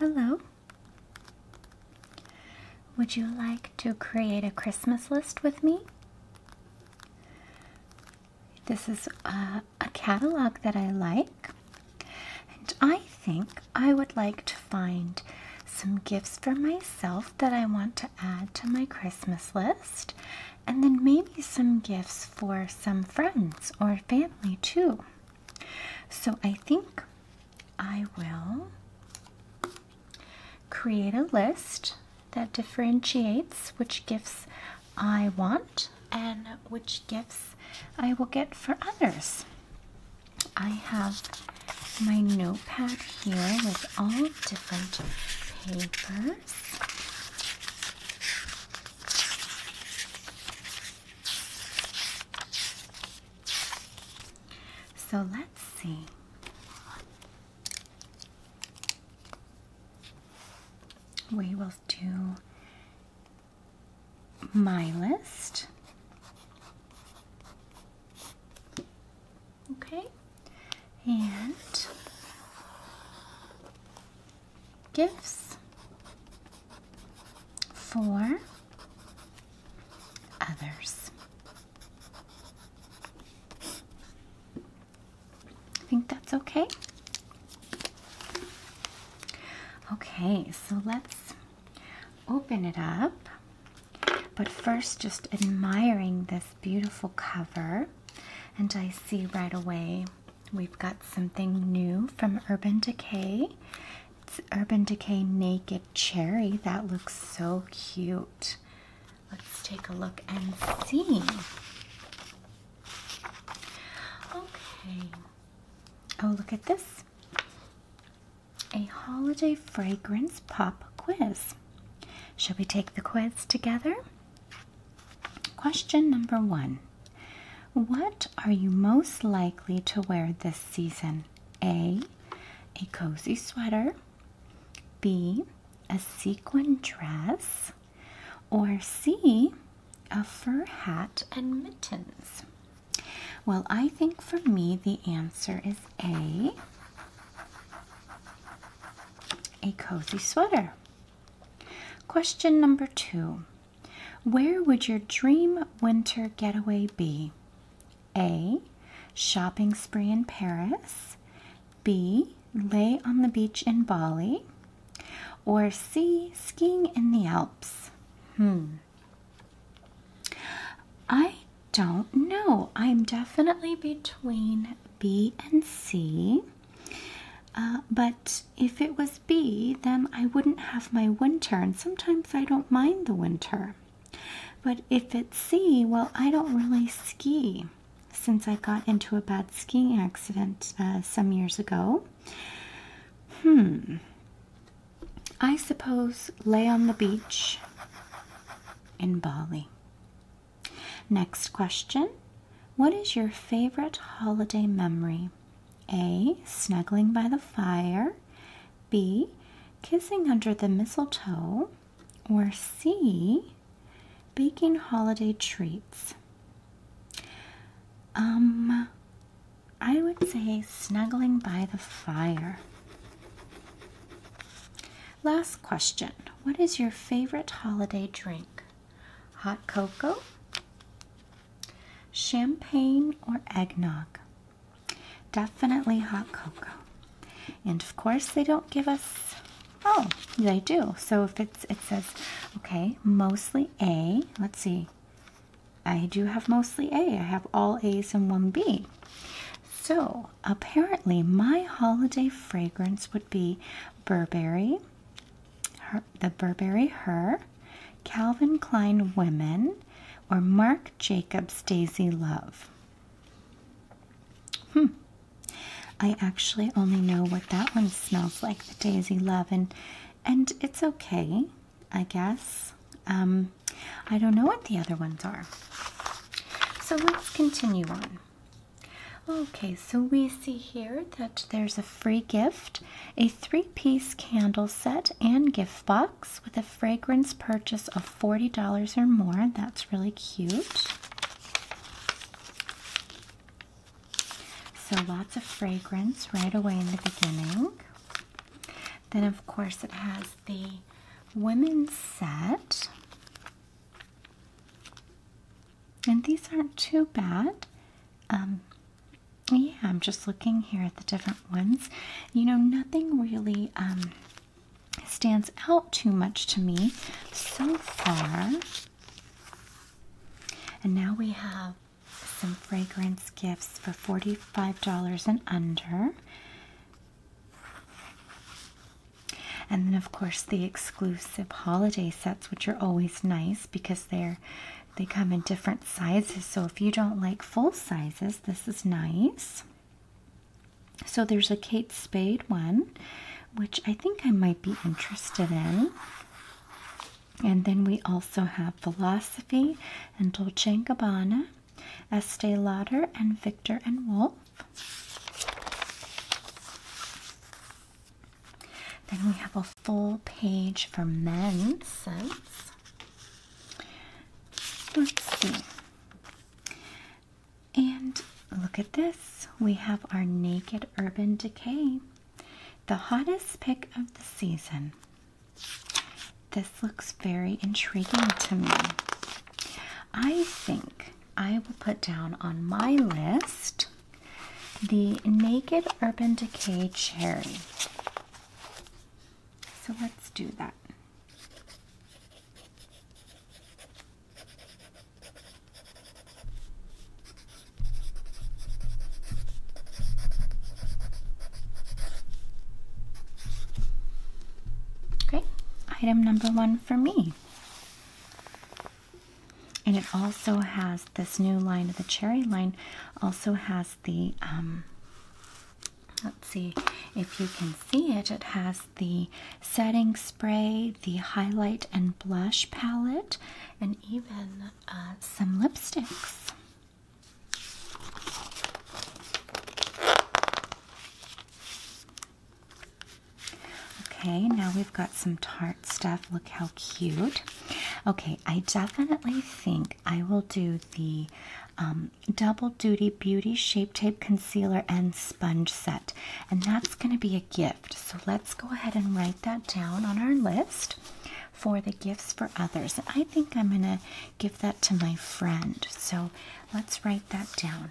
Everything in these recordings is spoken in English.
Hello. Would you like to create a Christmas list with me? This is a, catalog that I like, and I think I would like to find some gifts for myself that I want to add to my Christmas list, and then maybe some gifts for some friends or family too. So I think I will create a list that differentiates which gifts I want and which gifts I will get for others. I have my notepad here with all different papers. So let's see. We will do my list. Okay. And gifts for others. I think that's okay. Okay, so let's open it up. But first, just admiring this beautiful cover. And I see right away We've got something new from Urban Decay. It's Urban Decay Naked Cherry. That looks so cute. Let's take a look and see. Okay. Oh, look at this. A holiday fragrance pop quiz. Shall we take the quiz together? Question number one what are you most likely to wear this season? A. A cozy sweater. B. A sequin dress. Or C. A fur hat and mittens. Well, I think for me the answer is A. A cozy sweater. Question number two where would your dream winter getaway be? A. Shopping spree in Paris. B. Lay on the beach in Bali. Or C. Skiing in the Alps. Hmm. I don't know. I'm definitely between B and C. Uh, but if it was B, then I wouldn't have my winter, and sometimes I don't mind the winter. But if it's C, well, I don't really ski since I got into a bad skiing accident uh, some years ago. Hmm. I suppose lay on the beach in Bali. Next question What is your favorite holiday memory? A. Snuggling by the fire. B. Kissing under the mistletoe. Or C. Baking holiday treats. Um, I would say snuggling by the fire. Last question What is your favorite holiday drink? Hot cocoa, Champagne or eggnog? Definitely hot cocoa. And of course, they don't give us. Oh, they do. So if it's, it says, okay, mostly A. Let's see. I do have mostly A. I have all A's and one B. So apparently, my holiday fragrance would be Burberry, the Burberry Her, Calvin Klein Women, or Marc Jacobs Daisy Love. Hmm. I actually only know what that one smells like, the Daisy Love, and and it's okay, I guess. Um, I don't know what the other ones are. So let's continue on. Okay, so we see here that there's a free gift, a three piece candle set and gift box with a fragrance purchase of $40 or more. That's really cute. So lots of fragrance right away in the beginning. Then, of course, it has the women's set. And these aren't too bad. Um, yeah, I'm just looking here at the different ones. You know, nothing really um, stands out too much to me so far. And now we have some fragrance gifts for $45 and under. And then, of course, the exclusive holiday sets, which are always nice because they're they come in different sizes, so if you don't like full sizes, this is nice. So there's a Kate Spade one, which I think I might be interested in. And then we also have Philosophy and Dolce & Gabbana, Estee Lauder and Victor and Wolf. Then we have a full page for men's scents. Let's see. And look at this. We have our Naked Urban Decay, the hottest pick of the season. This looks very intriguing to me. I think I will put down on my list the Naked Urban Decay Cherry. So let's do that. Okay, item number one for me and it also has this new line of the cherry line also has the um, let's see if you can see it it has the setting spray the highlight and blush palette and even uh, some lipsticks Okay, now we've got some stuff. Look how cute. Okay, I definitely think I will do the um, Double Duty Beauty Shape Tape Concealer and Sponge Set, and that's going to be a gift. So let's go ahead and write that down on our list for the gifts for others. I think I'm going to give that to my friend. So let's write that down.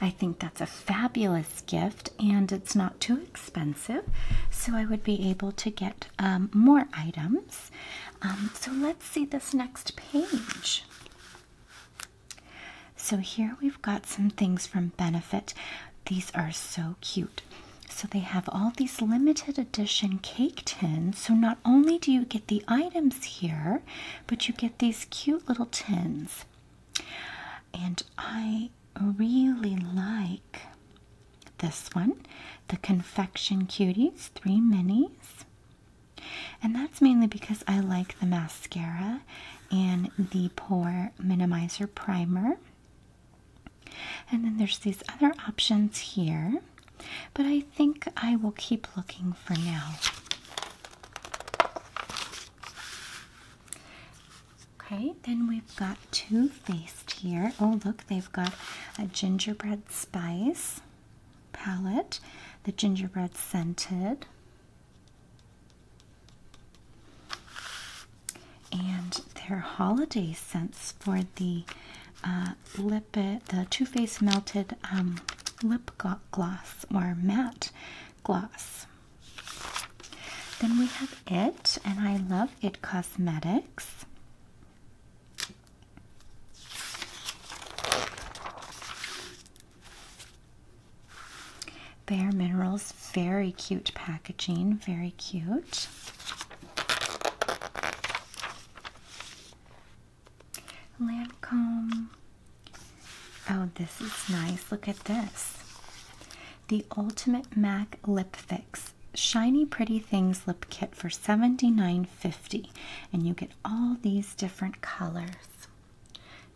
I think that's a fabulous gift and it's not too expensive, so I would be able to get um, more items. Um, so let's see this next page. So here we've got some things from Benefit. These are so cute. So they have all these limited edition cake tins. So not only do you get the items here, but you get these cute little tins. And I really like this one, the Confection Cuties 3 Minis. And that's mainly because I like the mascara and the Pore Minimizer Primer. And then there's these other options here, but I think I will keep looking for now. Okay, then we've got Too Faced here. Oh, look, they've got a gingerbread spice palette, the gingerbread scented. And their holiday scents for the uh, lip, it, uh, the Too Faced Melted um, Lip Gloss or Matte gloss. Then we have It, and I love It Cosmetics. Bare Minerals, very cute packaging, very cute. Lancome. Oh, this is nice. Look at this. The Ultimate MAC Lip Fix Shiny Pretty Things Lip Kit for seventy nine fifty, And you get all these different colors.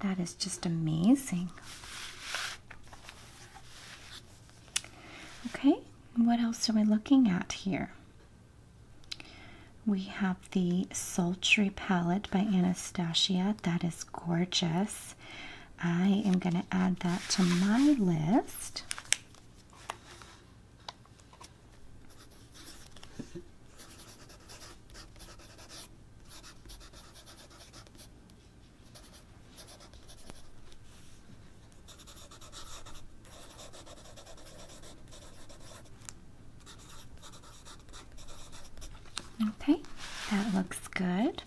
That is just amazing. Okay, what else are we looking at here? We have the Sultry palette by Anastasia. That is gorgeous. I am going to add that to my list. Okay, that looks good.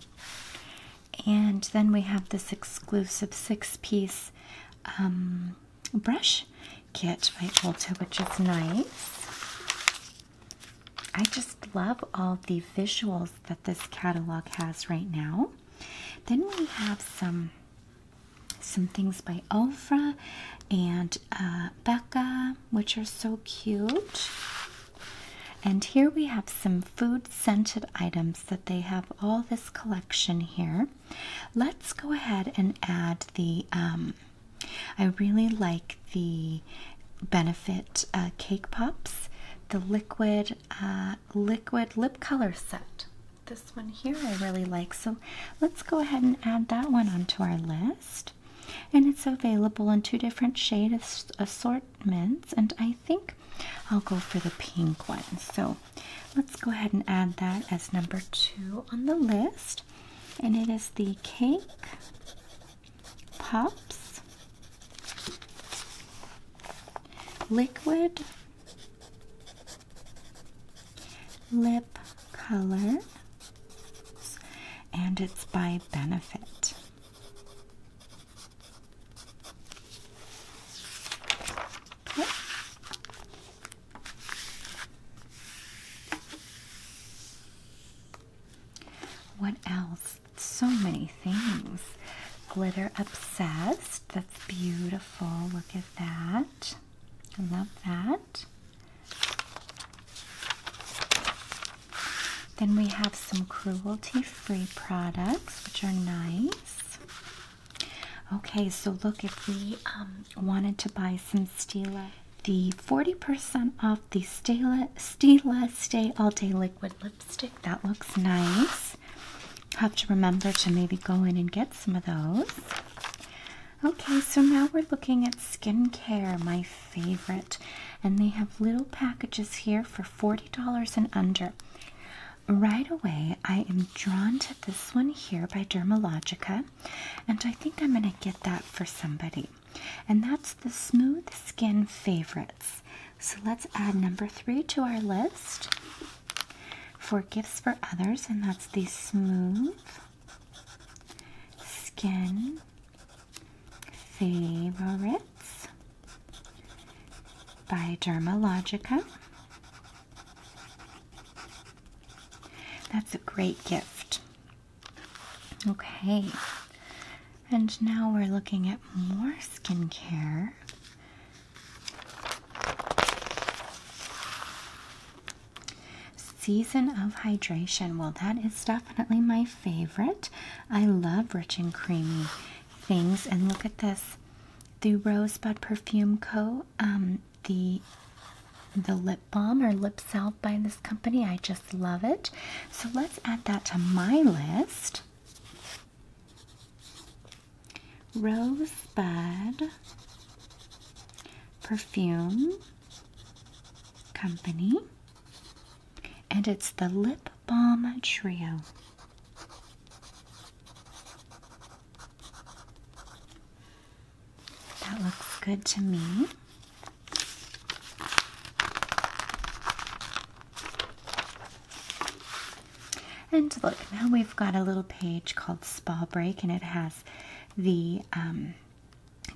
And then we have this exclusive six piece um, brush kit by Ulta, which is nice. I just love all the visuals that this catalog has right now. Then we have some some things by Ofra and uh, Becca, which are so cute. And here we have some food scented items that they have all this collection here. Let's go ahead and add the, um, I really like the Benefit uh, Cake Pops, the liquid, uh, liquid lip color set. This one here I really like. So let's go ahead and add that one onto our list and it's available in two different shade assortments and I think I'll go for the pink one so let's go ahead and add that as number two on the list and it is the cake pops liquid lip color and it's by Benefit. What else? So many things. Glitter Obsessed. That's beautiful. Look at that. I love that. Then we have some cruelty-free products, which are nice. Okay, so look, if we um, wanted to buy some Stila, the 40% off the Stila, Stila Stay All Day Liquid Lipstick, that looks nice. Have to remember to maybe go in and get some of those. Okay, so now we're looking at skincare, my favorite. And they have little packages here for $40 and under. Right away, I am drawn to this one here by Dermalogica, and I think I'm going to get that for somebody. And that's the Smooth Skin Favorites. So let's add number three to our list for gifts for others, and that's the Smooth skin favorites by Dermalogica. That's a great gift. Okay, and now we're looking at more skincare. Season of Hydration. Well, that is definitely my favorite. I love rich and creamy things. And look at this the Rosebud Perfume Co. Um, the the lip balm or lip salve by this company. I just love it. So let's add that to my list. Rosebud perfume Company, and it's the Lip Balm Trio. That looks good to me. And look, now we've got a little page called Spa Break, and it has the um,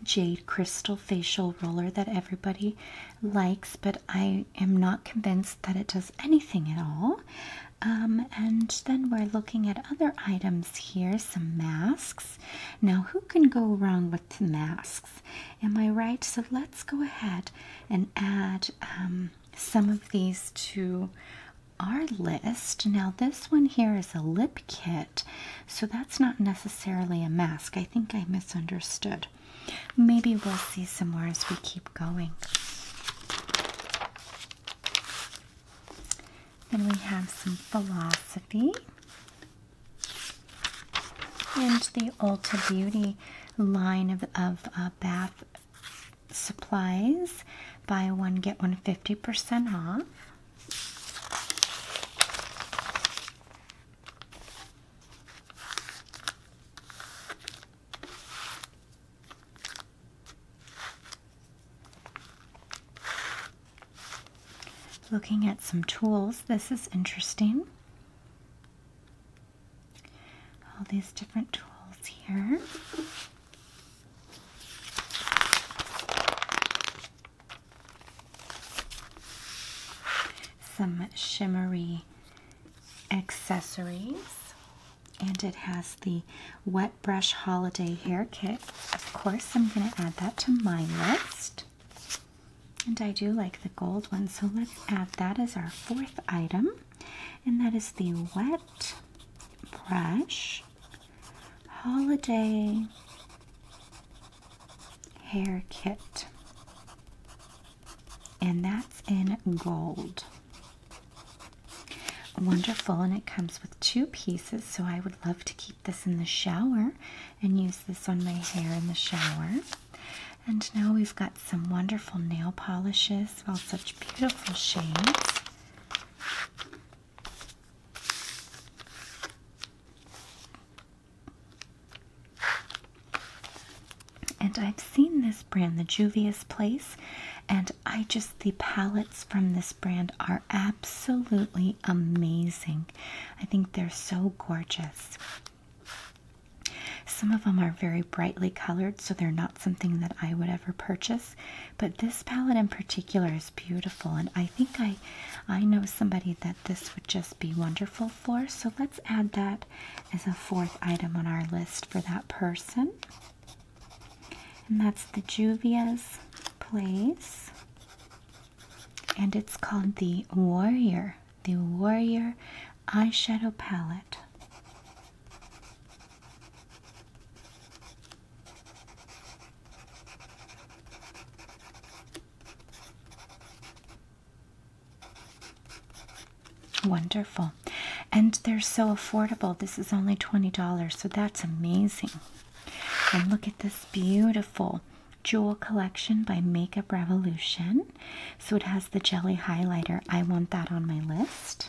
jade crystal facial roller that everybody likes, but I am not convinced that it does anything at all. Um, and then we're looking at other items here, some masks. Now, who can go wrong with masks? Am I right? So let's go ahead and add um, some of these to our list. Now, this one here is a lip kit, so that's not necessarily a mask. I think I misunderstood. Maybe we'll see some more as we keep going. Then we have some philosophy and the Ulta Beauty line of, of uh, bath supplies. Buy one, get one fifty percent off. Looking at some tools, this is interesting. All these different tools here. Some shimmery accessories. And it has the Wet Brush Holiday Hair Kit. Of course, I'm going to add that to my list. And I do like the gold one, so let's add that as our fourth item. And that is the Wet Brush Holiday Hair Kit, and that's in gold. Wonderful, and it comes with two pieces, so I would love to keep this in the shower and use this on my hair in the shower. And now we've got some wonderful nail polishes, all such beautiful shades. And I've seen this brand, the Juvia's Place, and I just, the palettes from this brand are absolutely amazing. I think they're so gorgeous. Some of them are very brightly colored, so they're not something that I would ever purchase but this palette in particular is beautiful and I think I I know somebody that this would just be wonderful for so let's add that as a fourth item on our list for that person and that's the Juvia's Place and it's called the Warrior the Warrior eyeshadow palette Wonderful. And they're so affordable. This is only $20, so that's amazing. And look at this beautiful jewel collection by Makeup Revolution. So it has the jelly highlighter. I want that on my list.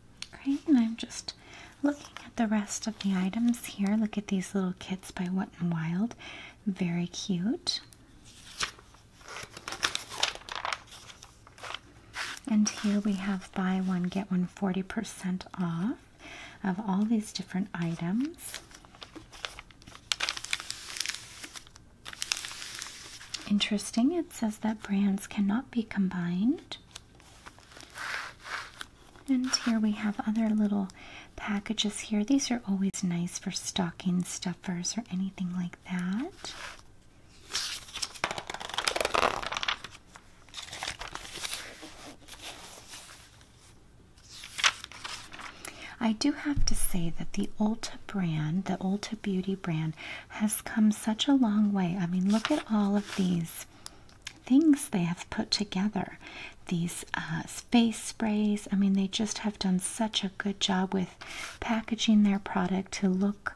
Right, and I'm just looking at the rest of the items here. Look at these little kits by Wet and Wild. Very cute. And here we have buy one, get one 40% off of all these different items. Interesting says that brands cannot be combined. And here we have other little packages here. These are always nice for stocking stuffers or anything like that. I do have to say that the Ulta brand, the Ulta Beauty brand, has come such a long way. I mean, look at all of these things they have put together these space uh, sprays. I mean, they just have done such a good job with packaging their product to look,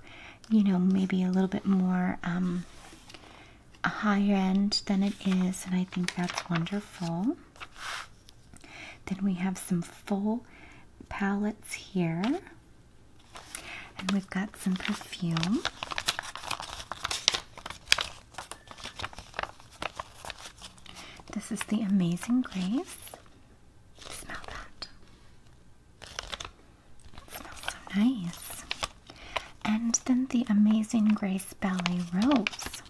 you know, maybe a little bit more um, higher end than it is. And I think that's wonderful. Then we have some full palettes here. And we've got some perfume. This is the Amazing Grace. Smell that. smells so nice. And then the Amazing Grace Belly Rose.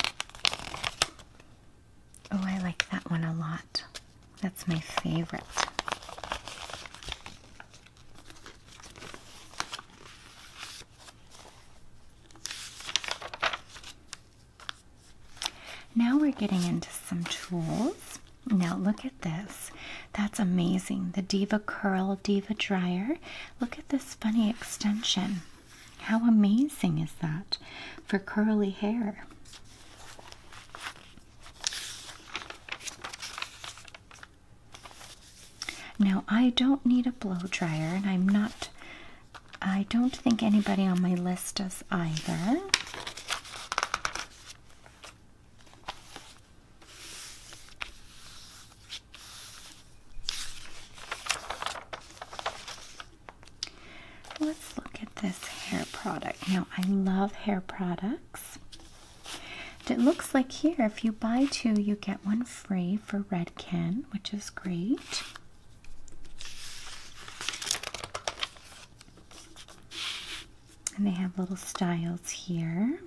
Oh, I like that one a lot. That's my favorite. Now we're getting into some tools. Now look at this. That's amazing. The Diva Curl Diva Dryer. Look at this funny extension. How amazing is that for curly hair? Now, I don't need a blow dryer, and I'm not, I don't think anybody on my list does either. Let's look this hair product. Now, I love hair products. It looks like here, if you buy two, you get one free for Redken, which is great. And they have little styles here.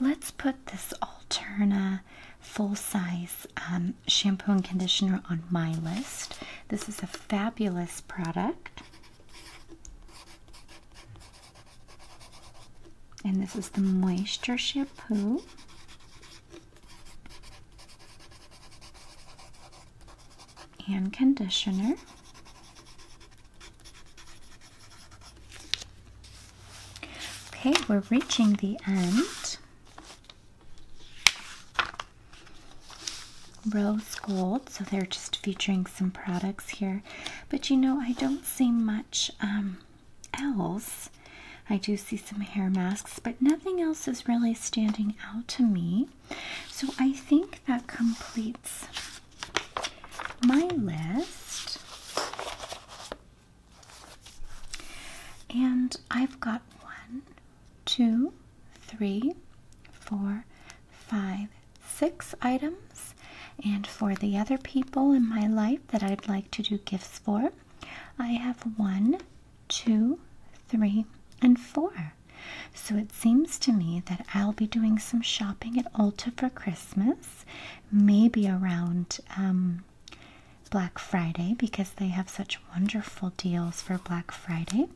Let's put this Alterna full size um, shampoo and conditioner on my list. This is a fabulous product. And this is the moisture shampoo. And conditioner. Okay, we're reaching the end. Rose gold, so they're just featuring some products here. But you know, I don't see much um, else. I do see some hair masks, but nothing else is really standing out to me. So I think that completes my list. And I've got one, two, three, four, five, six items. And for the other people in my life that I'd like to do gifts for, I have one, two, three, and four. So it seems to me that I'll be doing some shopping at Ulta for Christmas, maybe around um, Black Friday because they have such wonderful deals for Black Friday.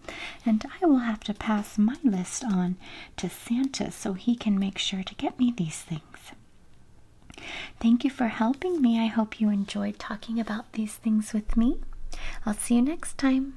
And I will have to pass my list on to Santa so he can make sure to get me these things. Thank you for helping me. I hope you enjoyed talking about these things with me. I'll see you next time.